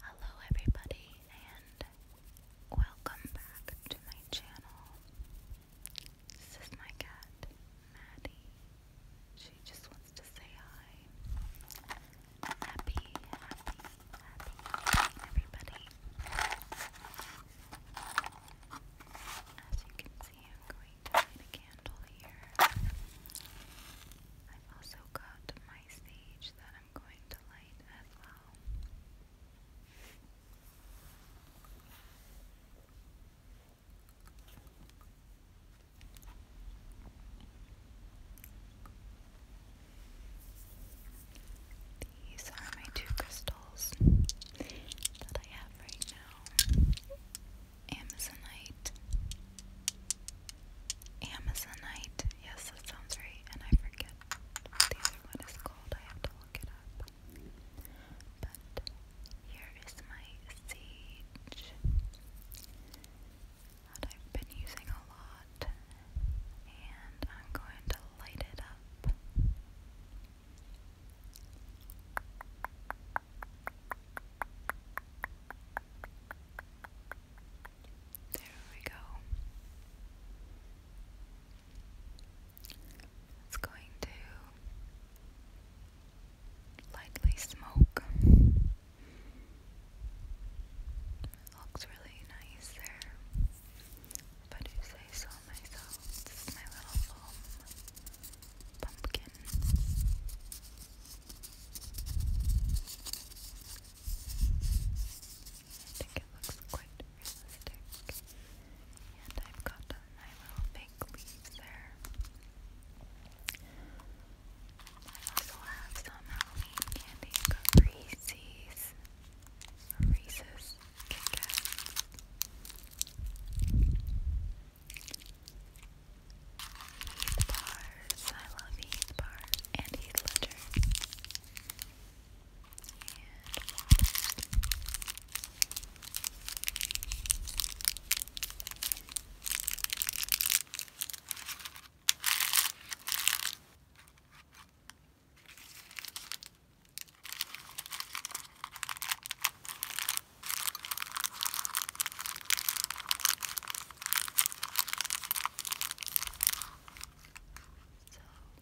Hello, everybody, and welcome back to my channel. This is my cat, Maddie. She just wants to say hi happy, happy, happy, everybody. As you can see, I'm going to light a candle here. I've also got my sage that I'm going to light as well. These are my two crystals that I have right now. Amazonite. Amazonite. Yes, that sounds right. And I forget the other one is called. I have to look it up. But here is my sage that I've been using a lot, and I'm going to light it up. There we go. It's going to lightly smoke. It looks really nice there. If I do myself, my little foam pumpkin. I think it looks quite realistic. And I've got my little baby fake leaves I also have some Halloween candy. i Reese's, Kit Kats. Heath bars. I love Heath bars and Heath Ledger. So,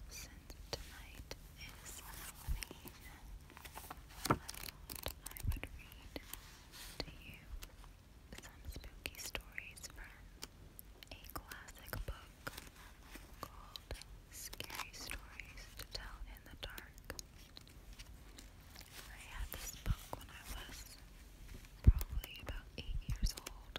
since tonight is Halloween, I would read to you some spooky stories from a classic book called Scary Stories to Tell in the Dark. I had this book when I was probably about eight years old.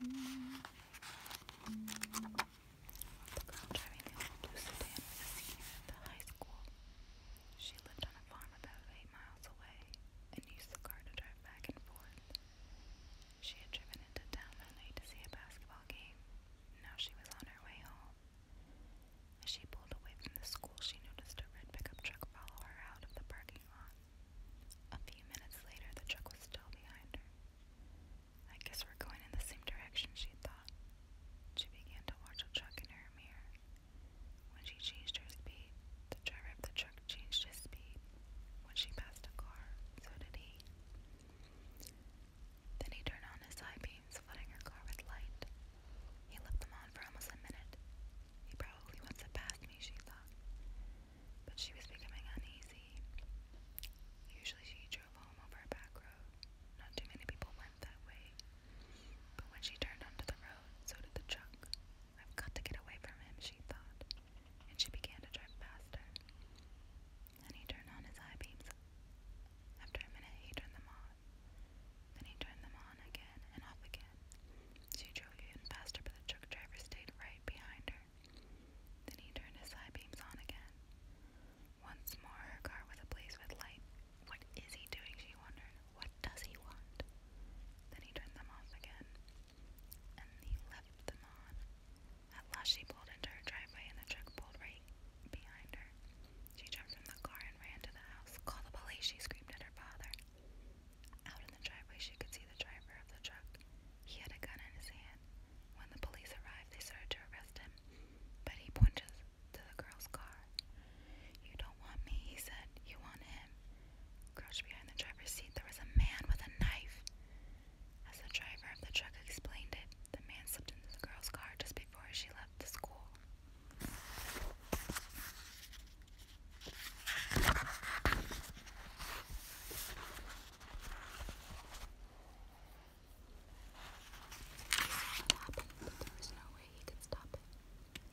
The girl driving the blue sedan was a senior at the high school. She lived on a farm about eight miles away and used the car to drive back and forth. She had driven into town that night to see a basketball game. Now she was on her way home. As she pulled away from the school, she noticed a red pickup truck follow her out of the parking lot. A few minutes later, the truck was still behind her. I guess we're going in the same direction, she thought. She began to watch the truck in her mirror. When she changed her speed, the driver of the truck changed his speed. When she passed a car, so did he. Then he turned on his high beams, flooding her car with light. He left them on for almost a minute. He probably wants to pass me, she thought. But she was becoming uneasy. Usually she drove home over a back road. Not too many people went that way. But when she turned onto the road, so did the truck. I've got to get away from him, she thought. And she began to drive faster. And he turned on his high beams. After a minute, he turned them off. Then he turned them on again and off again. She drove even faster, but the truck driver stayed right behind her. Then he turned his side beams on again. Once more, her car was ablaze with light. What is he doing? She wondered. What does he want? Then he turned them off again. And he left them on. At last, she pulled into her driveway and the truck pulled right behind her. She jumped from the car and ran to the house. Call the police, she screamed at her father. Out in the driveway, she could see the driver of the truck. He had a gun in his hand. When the police arrived, they started to arrest him, but he pointed to the girl's car. You don't want me, he said. You want him. Crouched behind the driver's seat, there was a man with a knife. As the driver of the truck explained it, the man slipped into the girl's car just before she left the school there was no way he could stop it.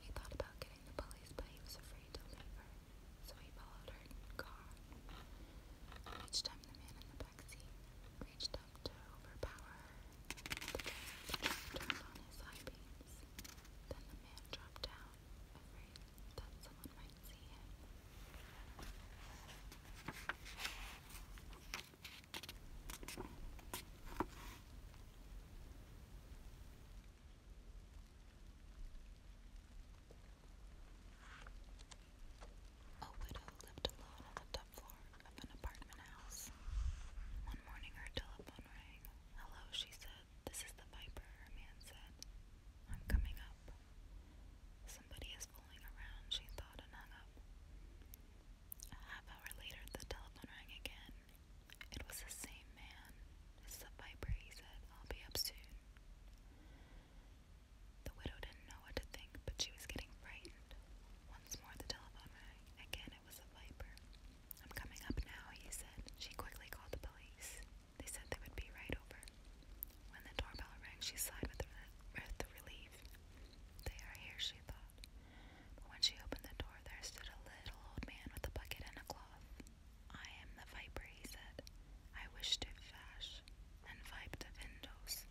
He thought about getting the police, but he was afraid to leave her, so he followed her car. Each time the man in the back seat reached enough to overpower turned on his high beams. Then the man dropped down, afraid that someone might see him. A widow lived alone in a floor of an apartment house. One morning her telephone rang. Hello, she said. This is the Viper, her man said. I'm coming up. Somebody is fooling around, she thought and hung up. A half hour later, the telephone rang again. It was the same man. It's the Viper, he said. I'll be up soon. The widow didn't know what to think, but she was getting frightened. Once more the telephone rang. Again it was a viper. I'm coming up now, he said. She quickly called the police. They said they would be right over. When the doorbell rang, she sighed with, relief. They are here, she thought. But when she opened the door, there stood a little old man with a bucket and a cloth. I am the viper, he said. I wish to fash and vibe the windows.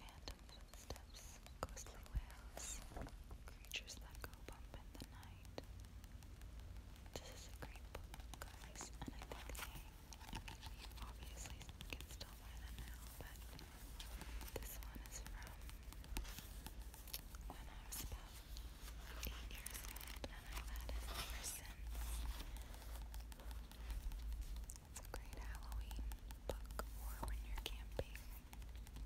Phantom footsteps, ghostly wails, creatures that go bump in the night. This is a great book, guys, and I think they, I mean, obviously can still buy them now, but this one is from when I was about eight years old, and i had it ever It's a great Halloween book or when you're camping. I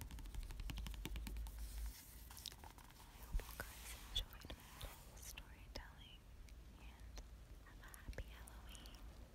hope you guys enjoyed my little storytelling and have a happy Halloween.